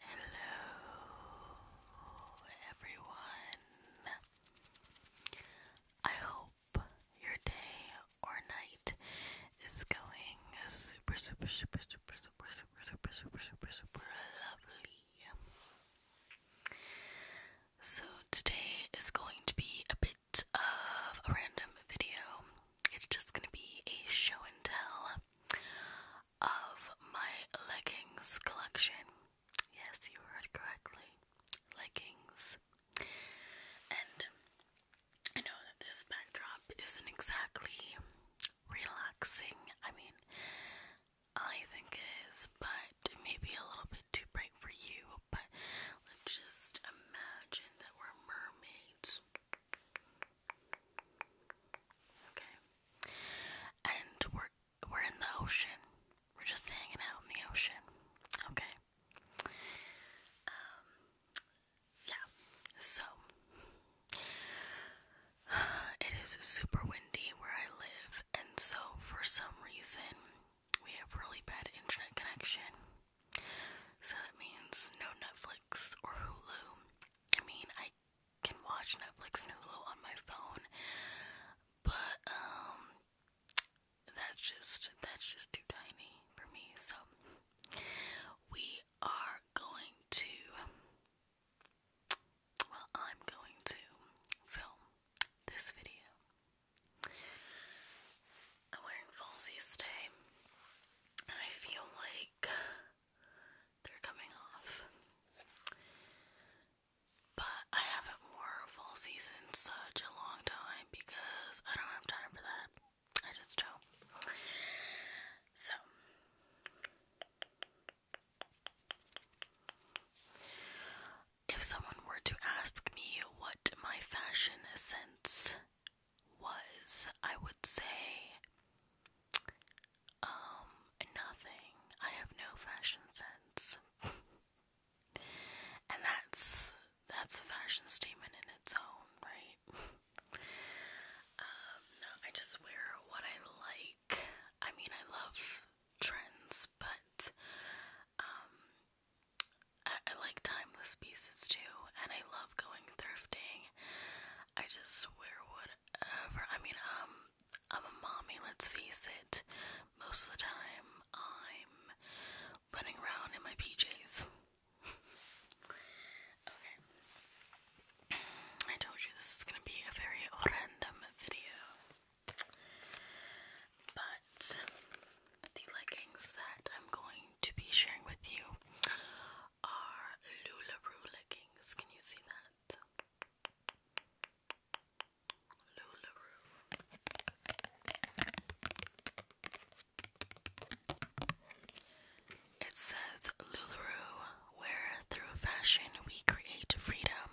Hello, everyone. I hope your day or night is going super, super, super, super, super, super, super, super, super, super lovely. So, today is going to be a bit of a random video. It's just going to be a show and tell of my leggings collection. Yes, you heard correctly. Leggings. And I know that this backdrop isn't exactly relaxing. I mean, I think it is, but it may be a little bit too bright for you. But let's just imagine that we're mermaids. Okay. And we're we're in the ocean. We're just hanging out in the ocean. Okay. Um yeah. So it is super windy where I live and so for some reason we have really bad internet connection. So that means no Netflix or Hulu. I mean, I can watch Netflix and on my phone, but um, that's just that's just too tiny for me. So we are going to, well, I'm going to film this video. I'm wearing falsies today, and I feel like they're coming off. But I haven't wore full season such a long time because I don't have time for that. I just don't. So if someone were to ask me what my fashion sense was, I would say, um, nothing. I have no fashion sense. and that's that's a fashion statement in its own, right? um, no, I just wear what I like. I mean, I love trends, but um, I, I like timeless pieces too, and I love going thrifting. I just wear whatever. I mean, um, I'm a mommy, let's face it. Most of the time, I'm running around in my PJs. okay. I told you this is gonna be a very random video. But the leggings that I'm going to be sharing with you are Lularoo leggings. Can you see that? Lularoo. It says Lularoo, where through fashion we create freedom,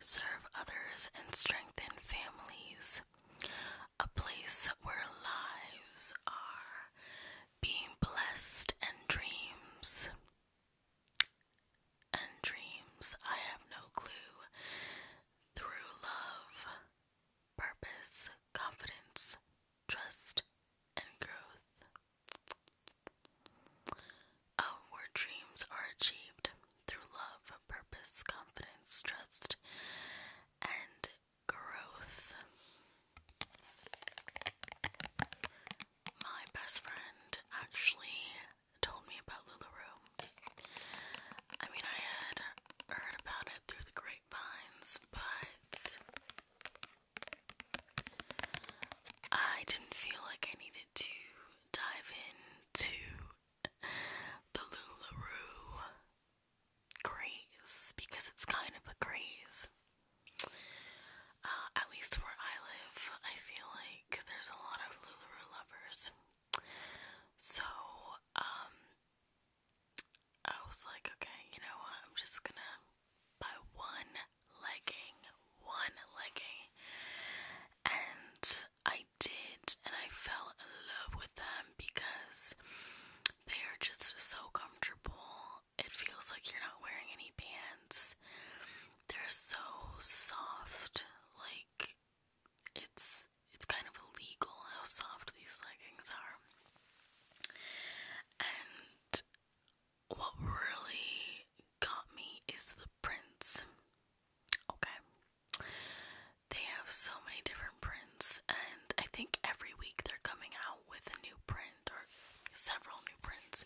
serve others, and strengthen families. A place where lives are being blessed and dreams. And dreams, I have no clue. Through love, purpose, confidence, trust, and growth. Outward dreams are achieved through love, purpose, confidence, trust, and growth. My best friend actually told me about LuLaRoe. I mean, I had heard about it through the grapevines, but I didn't feel like I needed to dive into the LuLaRoe graze because it's kind of a graze. Uh, at least where I live, I feel like there's a lot of Luluru lovers. So, um, I was like, okay, you know what? I'm just gonna buy one legging, one legging, and I did, and I fell in love with them because they are just so comfortable it feels like you're not wearing any pants. They're so soft, like it's it's kind of illegal how soft these leggings are. And what really got me is the prints. Okay. They have so many different prints, and I think every week they're coming out with a new print print or several new prints.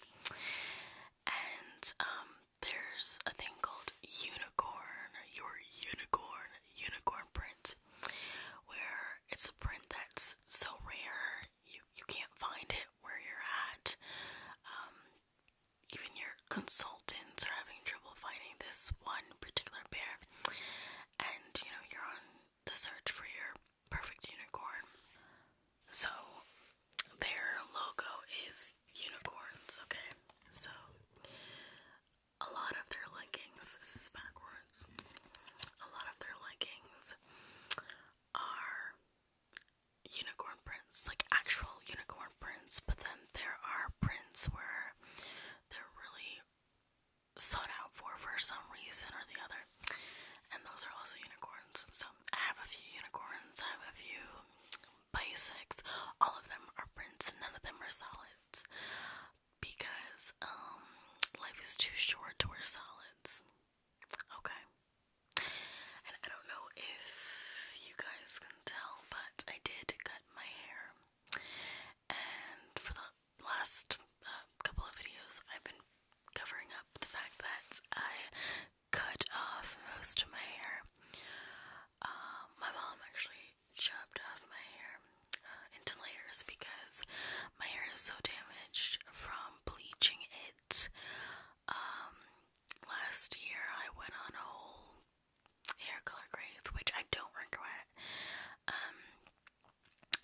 And um there's a thing called unicorn, your unicorn, unicorn print, where it's a print that's so rare you you can't find it where you're at. Um, even your consultants are having trouble finding this one particular pair, and you know you're on the search for your perfect unicorn. So, their logo is unicorns, okay? So, a lot of their leggings, this is backwards, a lot of their leggings are unicorn prints, like actual unicorn prints, but then there are prints where they're really sought out for for some reason or the other. And those are also unicorns. So I have a few unicorns, I have a few basics. All of them are prints, none of them are solids. Because um, life is too short to wear solids. Okay. And I don't know if you guys can tell, but I did cut my hair and for the last uh, couple of videos, I've been covering up the fact that I cut off most of my hair. Um, my mom actually chopped off my hair uh, into layers because my hair is so damaged from bleaching it. Um, last year, I went on a whole hair color craze, which I don't regret. Um,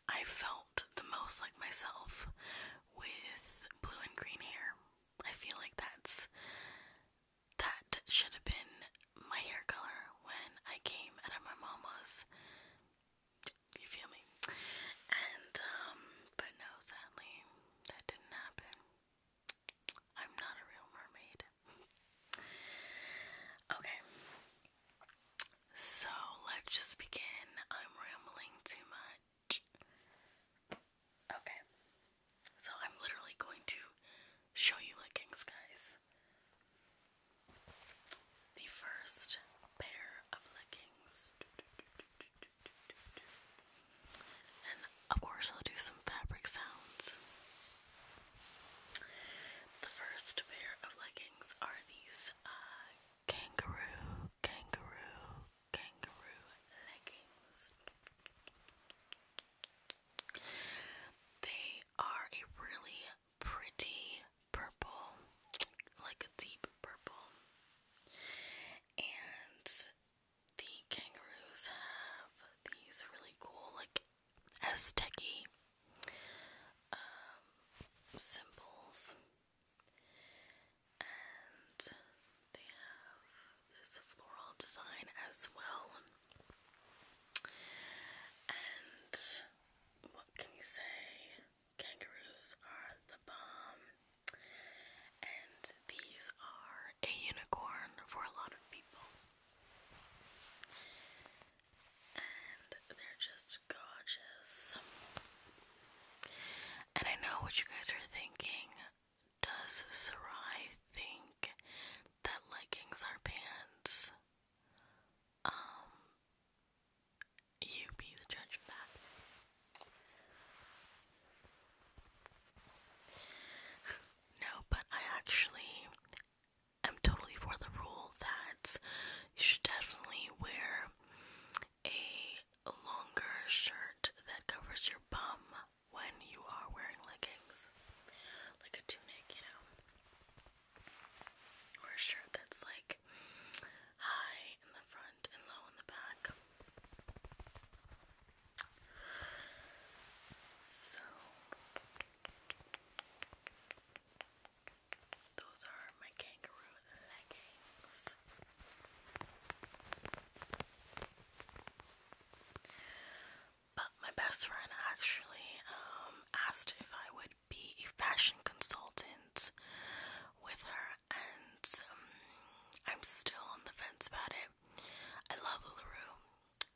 I felt the most like myself with blue and green hair. I feel like that's that should have been my hair color when I came out of my mama's. You feel me? And um, but no, sadly that didn't happen. I'm not a real mermaid. okay. So let's just begin. I'm rambling too much. Okay. So I'm literally going to show you leggings, guys. The first pair of leggings. And of course, I'll do some fabric sounds. The first pair of leggings are these uh, kangaroo, kangaroo, kangaroo leggings. They are a really pretty purple, like a deep purple. And the kangaroos have these really cool, like Aztec um, symbols, and they have this floral design as well. And what can you say? Kangaroos are the bomb. And these are a unicorn for a lot of people and they're just gorgeous. And I know what you guys are thinking. Does Sarai think that leggings are pants? Um, you be the judge of that. No, but I actually I'm totally for the rule that you should definitely wear a longer shirt that covers your bum when you are wearing leggings, like a tunic, you know, or a shirt that's like high in the front and low in the back. So, those are my kangaroo leggings. But my best friend actually um, asked if I would be a fashion consultant with her, and um, I'm still on the fence about it. I love LaRue.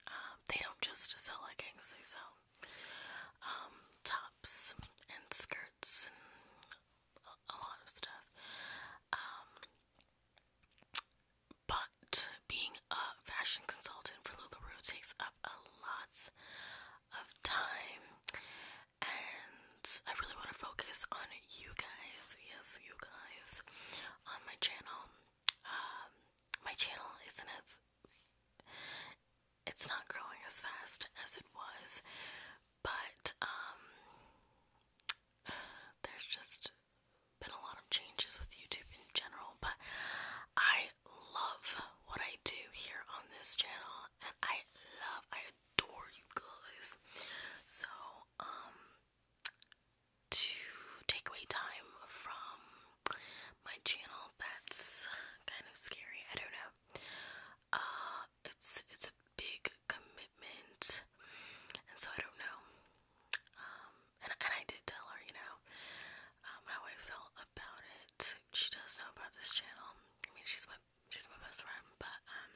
Um, they don't just sell leggings, they sell um, tops and skirts and a lot of stuff. Um, but being a fashion consultant for LuLaRue takes up a lot of time, and I really want to focus on you guys. Yes, you guys on my channel. Um, my channel isn't as it's not growing as fast as it was, but um, there's just been a lot of changes with YouTube in general. But I love what I do here on this channel, and I love, I adore you guys. So, um, to take away time from my channel, that's kind of scary. I don't know uh it's it's a big commitment and so I don't know um and, and I did tell her you know um how I felt about it she does know about this channel I mean she's my she's my best friend but um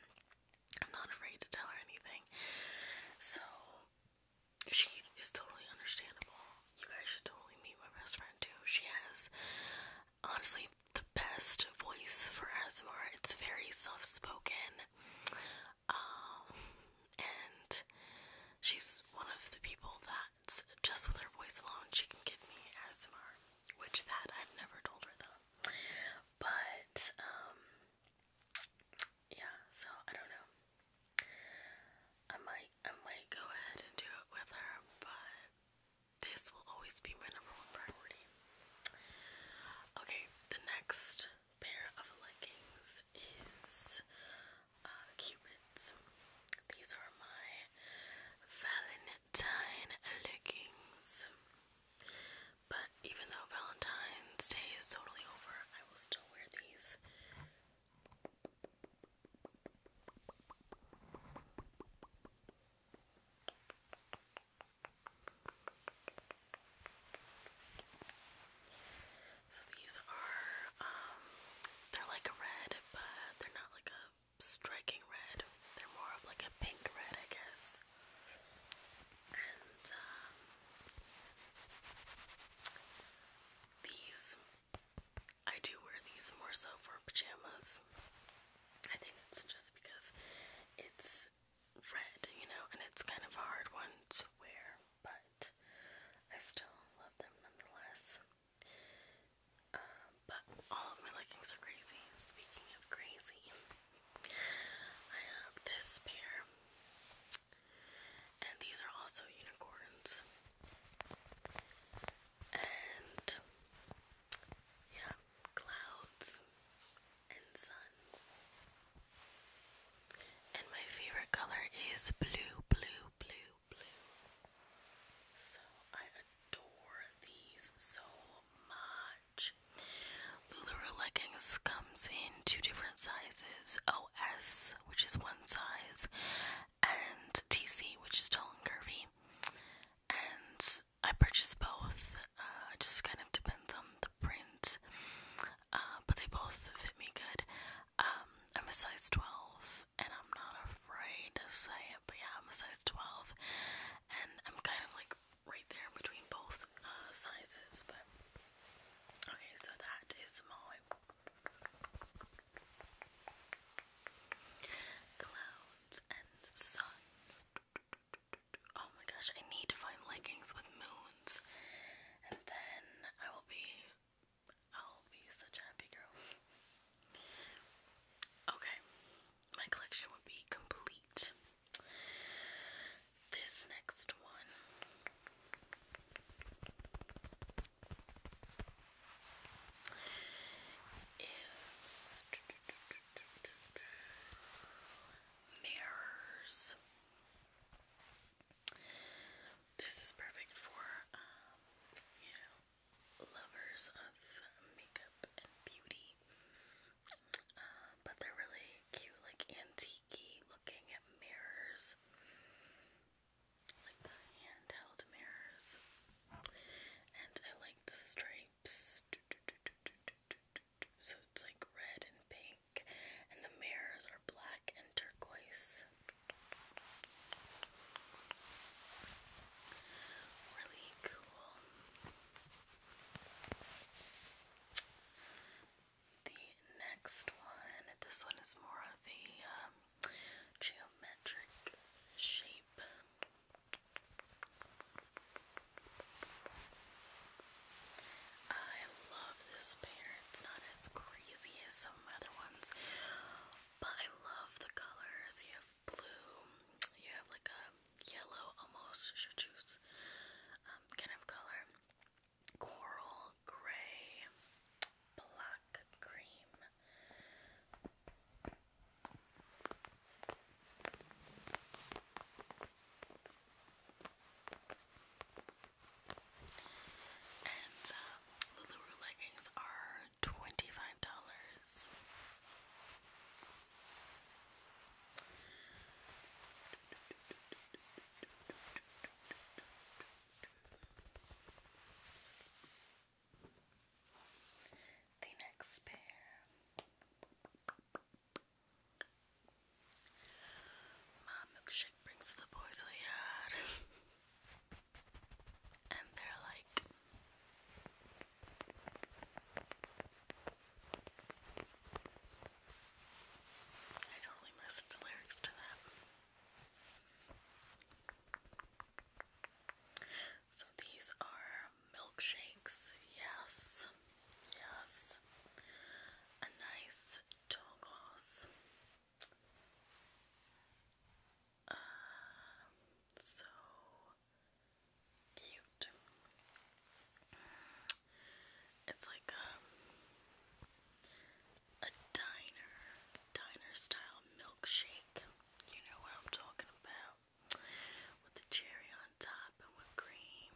I'm not afraid to tell her anything so she is totally understandable you guys should totally meet my best friend too. She has honestly the best voice for ASMR. It's very soft spoken. Um and she's one of the people that just with her voice alone she can give me ASMR. Which that I've never told her though. But um yeah, so I don't know. I might I might go ahead and do it with her, but this will always be my number one priority. Okay, the next pair of leggings is uh, Cupid's. These are my Valentine leggings. But even though Valentine's Day is totally over, I will still wear these so these are, um, they're like a red, but they're not like a striking red. They're more of like a pink red, I guess. And um, these I do wear these more so for pajamas. I think it's just because it's red, you know, and it's kind of a hard one to wear, but I still love them nonetheless. Um, but all of my leggings are crazy. Speaking of crazy, I have this pair, and these are also unicorns and yeah, clouds and suns. And my favorite color is blue, blue, blue, blue. So I adore these so much. Lularoe leggings comes in two different sizes: OS, which is one size, and TC, which is tall and curvy. And I purchased both. Uh, just kind of depends on the print, uh, but they both fit me good. Um, I'm a size 12, and I'm not afraid to say it, but yeah, I'm a size 12, and I'm kind of like right there between both uh, sizes. But okay, so that is my Clouds and sun. Oh my gosh, I need to find leggings with moons. And then I will be I'll be such a happy girl. Okay. My collection will be complete. This next one mirrors. This is perfect for, um, you know, lovers of makeup and beauty. Uh, but they're really cute, like antique looking mirrors like the handheld mirrors. And I like the stripes. So it's like red and pink, and the mirrors are black and turquoise. Really cool. The next one, this one is more of a um, geometric shape. I love this pair. It's not as crazy as some other ones, but I love the colors. You have blue, you have like a yellow almost chartreuse um, kind of color, coral, gray, black, cream. And uh, Lululemon leggings are twenty-five dollars. The next pair My milkshake brings the boys to the yard and they're like I don't really lyrics to that. So these are milkshakes. Yes. Yes. A nice tall gloss. Uh, so cute. It's like a um, a diner, diner style milkshake. You know what I'm talking about. With the cherry on top and with cream.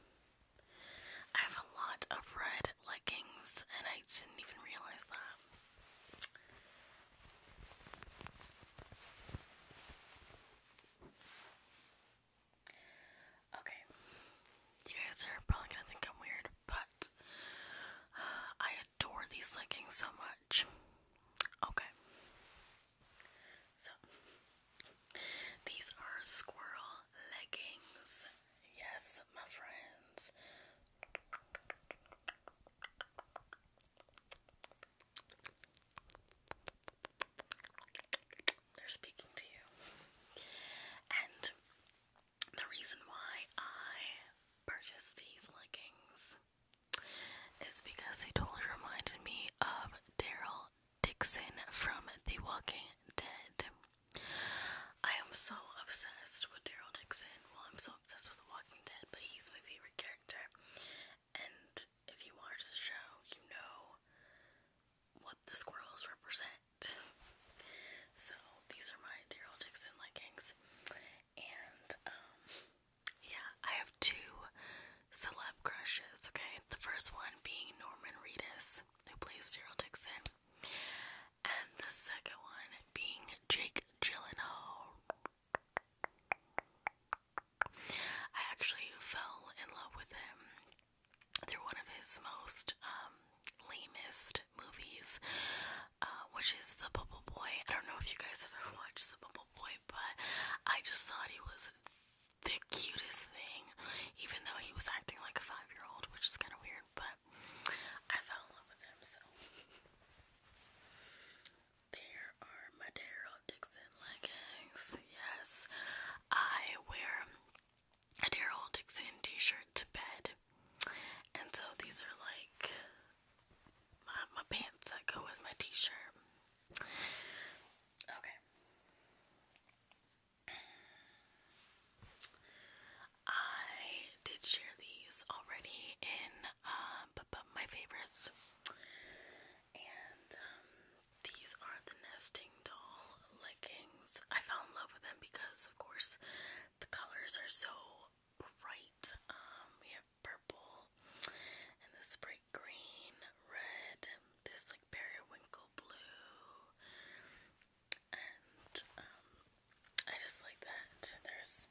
I have a lot of red leggings and I didn't even realize that. Okay, you guys are probably gonna think I'm weird, but I adore these leggings so much much. Okay. So these are squirrel leggings. Yes, my friends. They're speaking to you. And the reason why I purchased these leggings is because they totally reminded me of Daryl Dixon from The Walking Dead. I am so obsessed with Daryl Dixon. Well, I'm so obsessed with The Walking Dead, but he's my favorite character. And if you watch the show, you know what the squirrels represent. So these are my Daryl Dixon leggings. And um, yeah, I have two celeb crushes, okay? The first one being Norman Reedus, who plays Daryl Dixon, and the second one being Jake Gyllenhaal. I actually fell in love with him through one of his most um, lamest movies uh, which is The Bubble Boy. I don't know if you guys have ever watched The Bubble Boy, but I just thought he was the cutest thing, even though he was acting like a five year old, which is kind of weird, but I fell in love with him, so. There are my Daryl Dixon leggings. Yes, I wear a Daryl Dixon t shirt to bed. And so these are like my my pants that go with my t-shirt. Okay. I did share these already in uh, my favorites. And um, these are the nesting doll leggings. I fell in love with them because, of course, the colors are so bright. Um, we have purple and this bright green, red, this like periwinkle blue, and um, I just like that. There's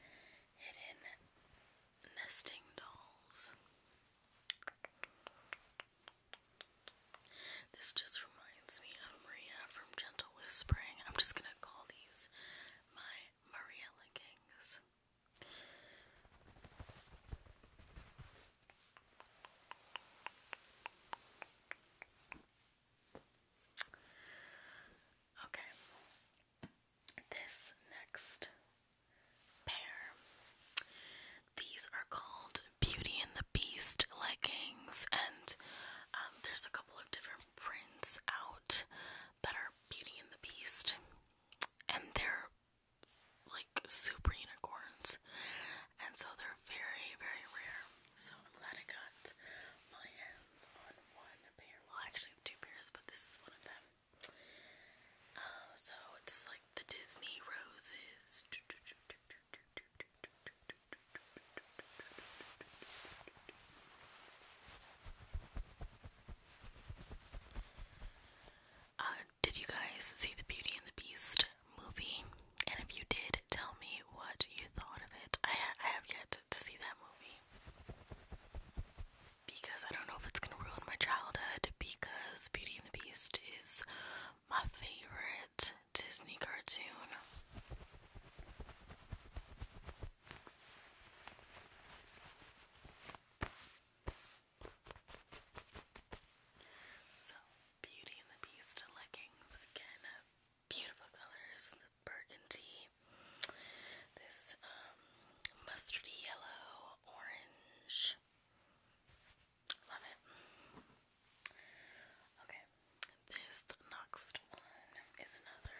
hidden nesting dolls. This just reminds me of Maria from Gentle Whispering. I'm just gonna call these my Maria Leggings. Okay, this next pair. These are called Beauty and the Beast leggings, and um, there's a of different prints out that are Beauty and the Beast, and they're like super unicorns, and so they're very, very rare. So I'm glad I got my hands on one pair. Well, actually two pairs, but this is one of them. Um, so it's like the Disney roses. Uh, did you guys see the Beauty and the Beast movie? And if you did, tell me what you thought of it. I have yet to see that movie because I don't know if it's gonna ruin my childhood. Because Beauty and the Beast is my favorite Disney cartoon. So, Beauty and the Beast leggings again, uh, beautiful colors, burgundy, this um, mustardy yellow, orange. Love it. Okay, this next one is another,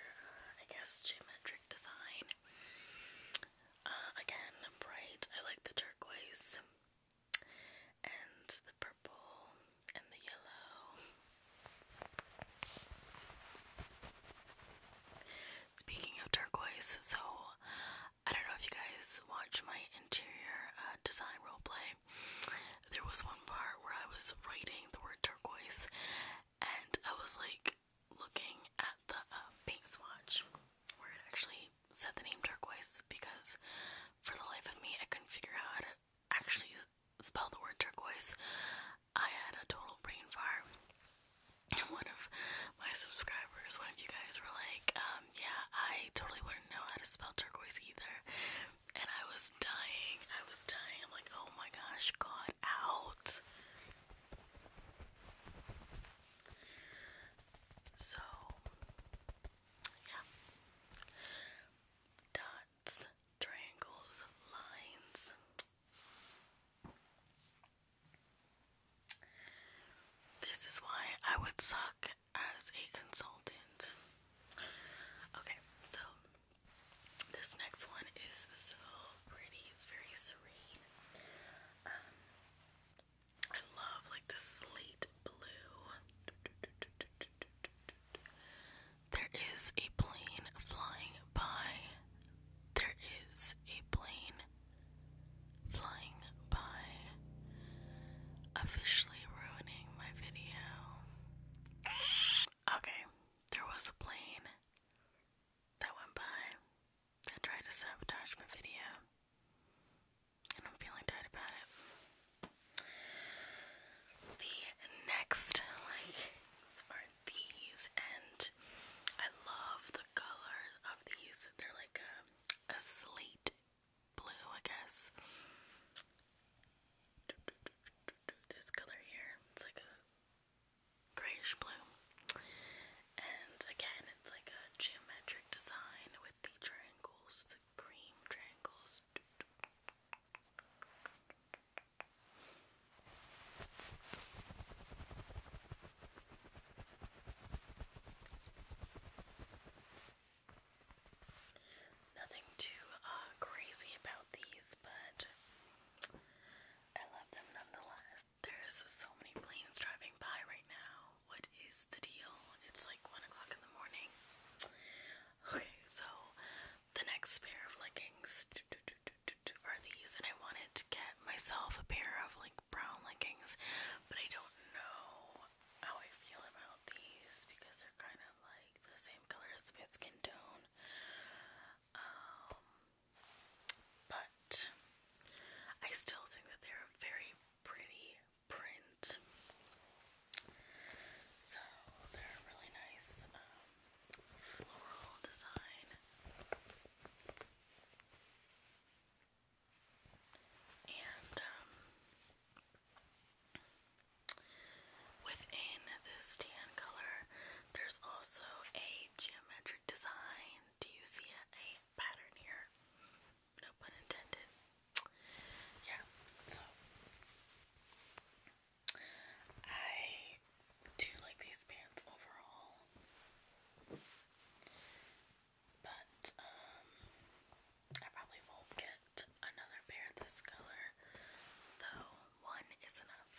I guess, geometric design. Uh, again, bright. I like the turquoise and the purple and the yellow. Speaking of turquoise, so I don't know if you guys watch my interior uh, design role play. There was one part where I was writing the word turquoise and I was like looking at the uh, paint swatch where it actually said the name turquoise because for the life of me I couldn't figure out how to actually spell the word turquoise. I had a total brain fire. one of my subscribers, one of you guys were like, um, yeah, I totally wouldn't know how to spell turquoise either and I was dying. I was dying. I'm like, oh my gosh, caught out. So, yeah. Dots, triangles, lines. This is why I would suck as a consultant. Okay, so this next one is so pretty. It's very serene. Um, I love like the slate blue. There is a plane flying by. There is a plane flying by. Officially ruining my video. Okay, there was a plane that went by that tried to sabotage my video, and I'm feeling tired about it. The next, like, are these, and I love the colors of these. They're like a slate blue, I guess this color here. It's like a grayish blue. And again, it's like a geometric design with the triangles, the cream triangles. Nothing too uh, crazy about these, but I love them nonetheless. There's so many planes driving by right now. What is the deal? It's like 1 o'clock in the morning. Okay, so the next pair of leggings are these, and I wanted to get myself a pair of like brown leggings, but I don't know how I feel about these because they're kind of like the same color as my skin tone. Um, but I still think that they're a very pretty print. So they're really nice um, floral design. And um, Within this tan color, there's also a geometric design. Do you see a, pattern here? No pun intended. Yeah, so I do like these pants overall. But um, I probably won't get another pair of this color, though one is enough.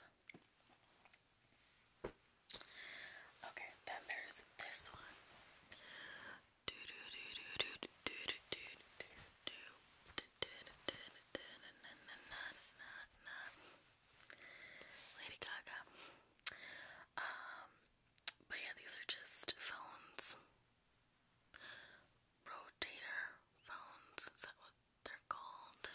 Okay, then there's this one. Do do do do do do do do do do do Lady Gaga. Um, but yeah, these are just phones. Rotator phones. Is that what they're called.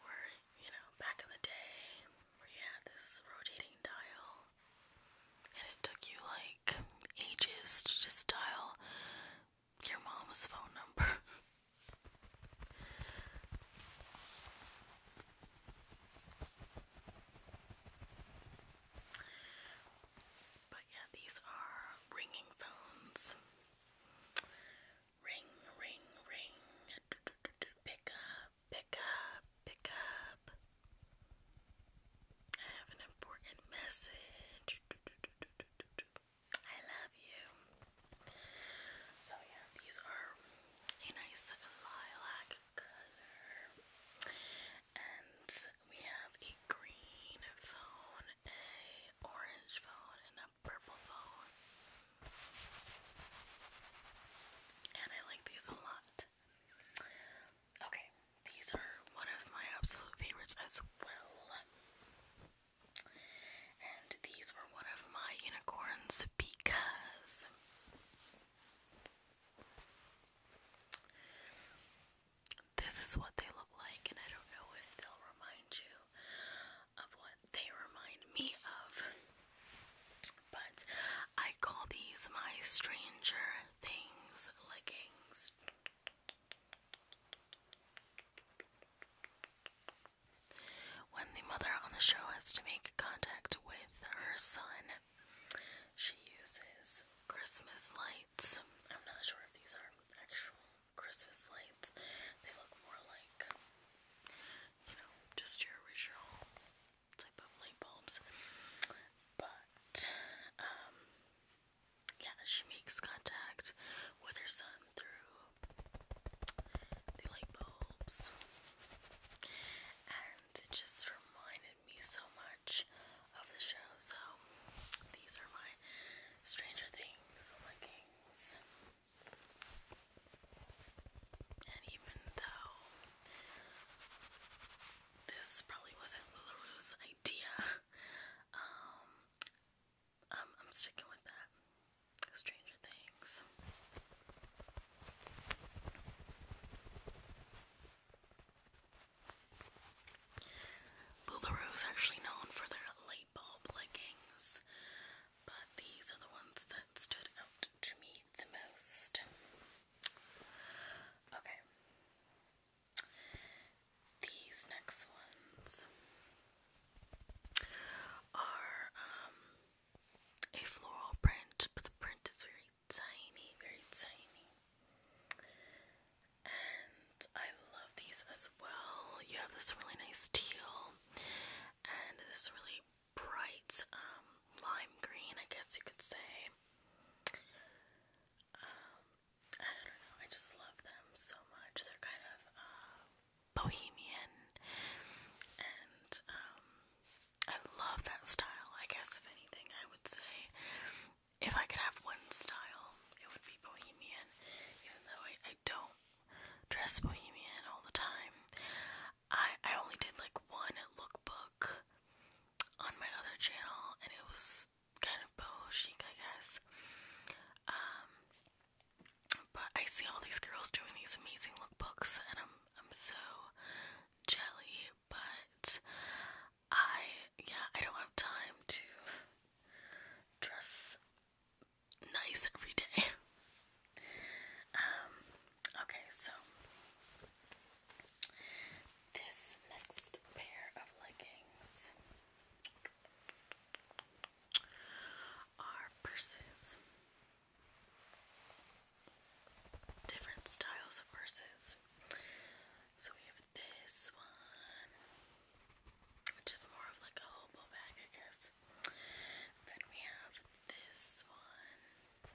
Where, you know, back in the day, where had this rotating dial, and it took you like ages to just dial your mom's phone number. But yeah, these are ringing phones. Ring, ring, ring. Do, do, do, do. Pick up, pick up, pick up. I have an important message. Do, do, do, do, do, do, do. I love you. So, yeah, these are a nice lilac color. And we have a green phone a orange phone and a purple phone. And I like these a lot. Okay, these are one of my absolute favorites as well. And these were one of my unicorns because this is what they look like, and I don't know if they'll remind you of what they remind me of. But I call these my Stranger Things leggings. When the mother on the show has to make contact with her son, she uses Christmas lights. I'm not sure if these are actual Christmas lights. They look more like, you know, just your original type of light bulbs. But, um, yeah, she makes contact with her son through the light bulbs. And it just reminded me so much of the show. So these are my Stranger Things leggings. And even though this probably wasn't LuLaRue's idea, um, I'm sticking with that. Stranger Things. Boularoo Rose actually known for their light bulb leggings, but these are the ones that stood out to me the most. Okay. These next ones are um, a floral print, but the print is very tiny, very tiny and I love these as well. You have this really nice teal and this really bright um, lime green, I guess you could say. Um, I don't know, I just love them so much. They're kind of uh, bohemian, and um, I love that style. I guess, if anything, I would say if I could have one style, it would be bohemian, even though I, I don't dress bohemian all the time. I I only did like one lookbook on my other channel and it was kind of boho chic, I guess. Um but I see all these girls doing these amazing lookbooks and I'm I'm so jelly, but I yeah, I don't have time to dress nice every day. Um, okay, so this next pair of leggings are purses. Different styles of purses. So we have this one, which is more of like a hobo bag, I guess. Then we have this one.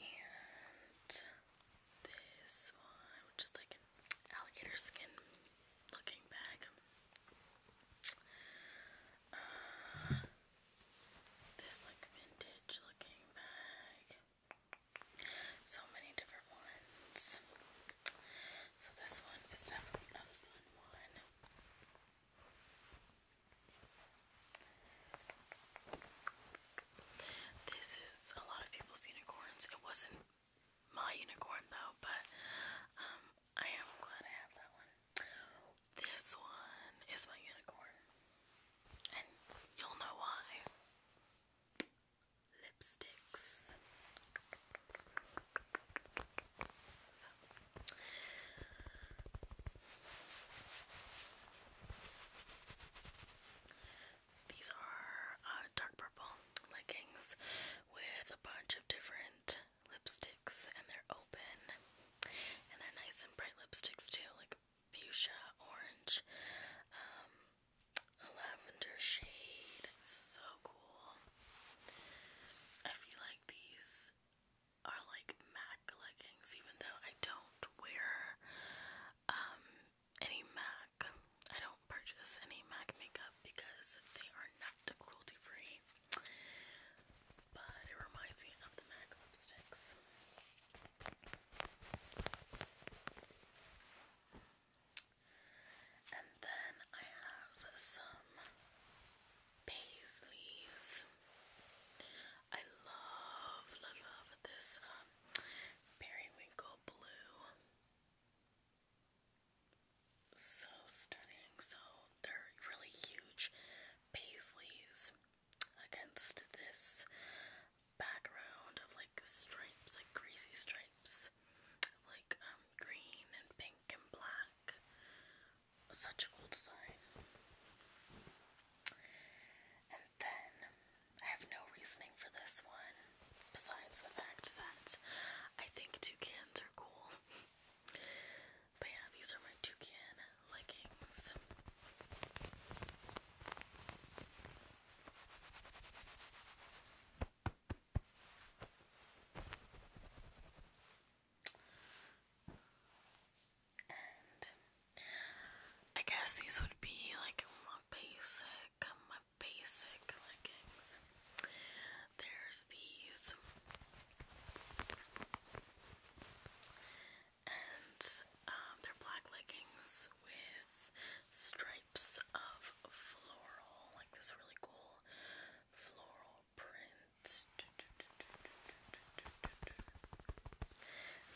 And this one, which is like alligator skin looking bag. Uh, this like vintage looking bag. So many different ones. So this one is definitely a fun one. This is a lot of people's unicorns. It wasn't my unicorn though, but um, I am glad I have that one. This one is my unicorn. And you'll know why. Lipsticks. These are uh, dark purple leggings with a bunch of different lipsticks, and they're open and they're nice and bright lipsticks, too. Like fuchsia orange, um, a lavender shade. So cool. I feel like these are like MAC leggings, even though I don't wear um, any MAC. I don't purchase any MAC makeup because they are not cruelty free but it reminds me of the MAC lipsticks. And then I have some Paisleys. I love, love, this um, periwinkle blue. So stunning. So they're really huge Paisleys against this background of like stripes, like crazy stripes, like um, green and pink and black. Such a cool design. And then I have no reasoning for this one besides the fact that I think toucans are cool. But yeah, these are my toucan leggings. And I guess these would be like my basic, my basic leggings. There's these and um, they're black leggings with stripes of floral, like this really cool floral print.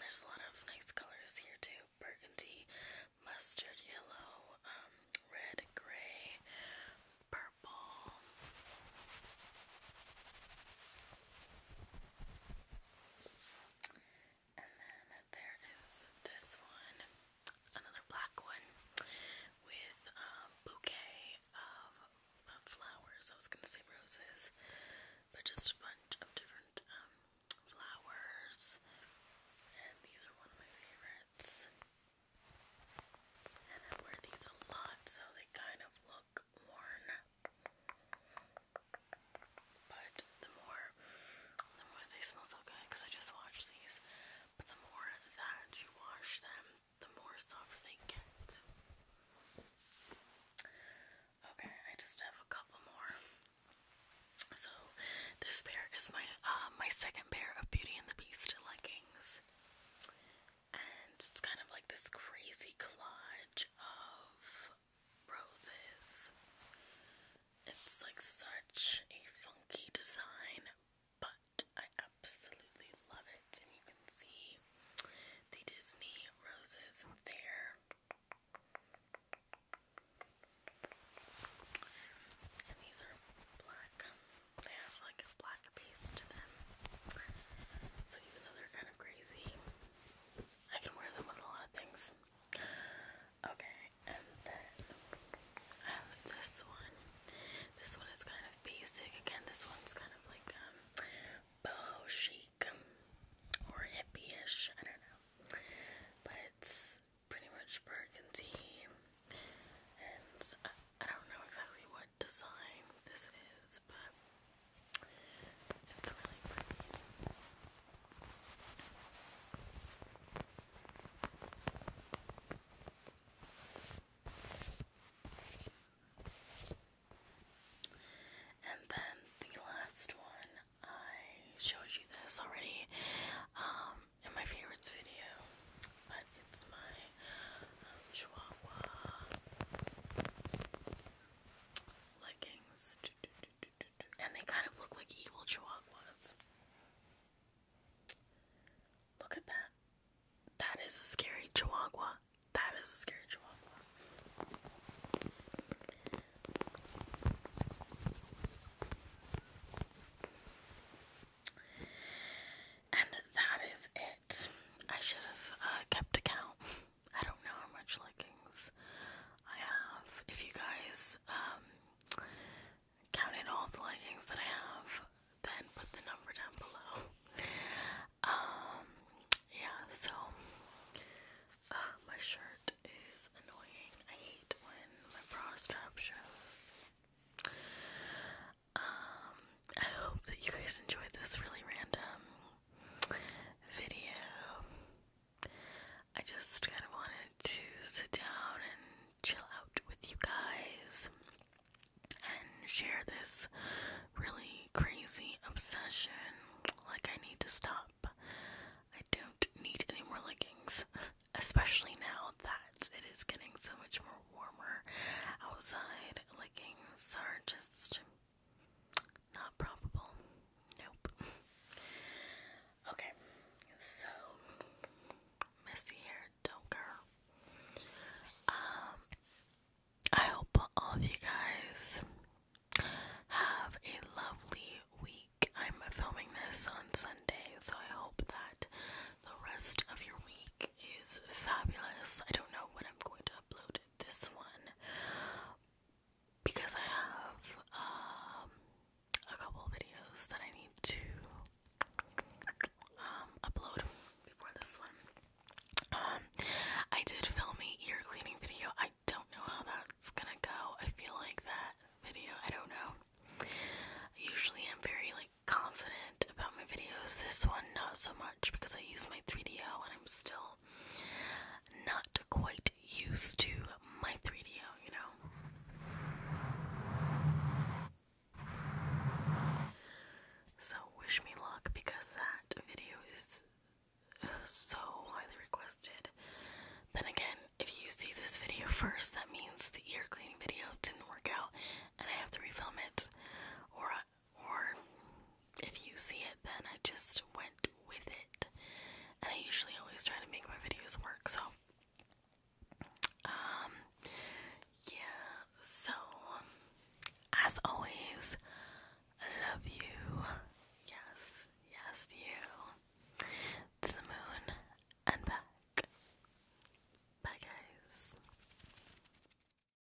there's a lot of nice colors here too: burgundy, mustard yellow, um, red, gray, purple. And then there is this one, another black one with a bouquet of, flowers. I was going to say roses, but just a bunch of different um, flowers. And these are one of my favorites. And I wear these a lot, so they kind of look look worn. But the more, the more they smell so good because I just washed these. But the more that you wash them, the more soft they get. Okay, I just have a couple more. So this pair is my uh, my second pair of Beauty and the Beast leggings and it's kind of like this crazy collage of roses. It's like such a funky design, but I absolutely love it. And you can see the Disney roses there. And these are black. They have like a black base to them. So even though they're kind of crazy. I can wear them with a lot of things. Okay, and then I um, have this one. This one is kind of basic. Again, this one's kind of like um, boho chic um, or hippie-ish. I don't know. But it's pretty much burgundy and uh, I don't know exactly what design this is, but it's really pretty. And then the last one, I showed you this already um, in my favorites video, but it's my um, Chihuahua leggings. And they kind of look like evil chihuahuas. Look at that. That is a scary chihuahua. That is a scary chihuahua. And that is it. I should have uh, kept account. I don't know how much likings I have. If you guys um, counted all the leggings that I have, then put the number down below. Um, yeah, so uh, my shirt is annoying. I hate when my bra strap shows. Um, I hope that you guys enjoyed this really random video. I just kind of wanted to sit down and chill out with you guys and share this really crazy obsession. Like, I need to stop. I don't need any more leggings, especially now that it is getting so much more warmer outside. Leggings are just not probable. Nope. okay, so messy hair, don't care. Um, I hope all of you guys have a lovely week. I'm filming this on Sunday, so I hope that the rest of your week is fabulous. I don't know when I'm going to upload this one because I have um, a couple videos that I need to um, upload before this one. Um, I did film a ear cleaning video. I don't know how that's gonna go. I feel like that video, I don't know. Usually I'm very like confident about my videos. This one not so much because I use my 3DO I'm still not quite used to my 3 d you know. So wish me luck because that video is uh, so highly requested. Then again, if you see this video first, that means the ear cleaning video didn't work out and I have to refilm it. Or or if you see it, then I just went with it. And I usually always try to make my videos work, so. Um, yeah, so, as always, I love you. Yes, yes, you. To the moon and back. Bye, guys.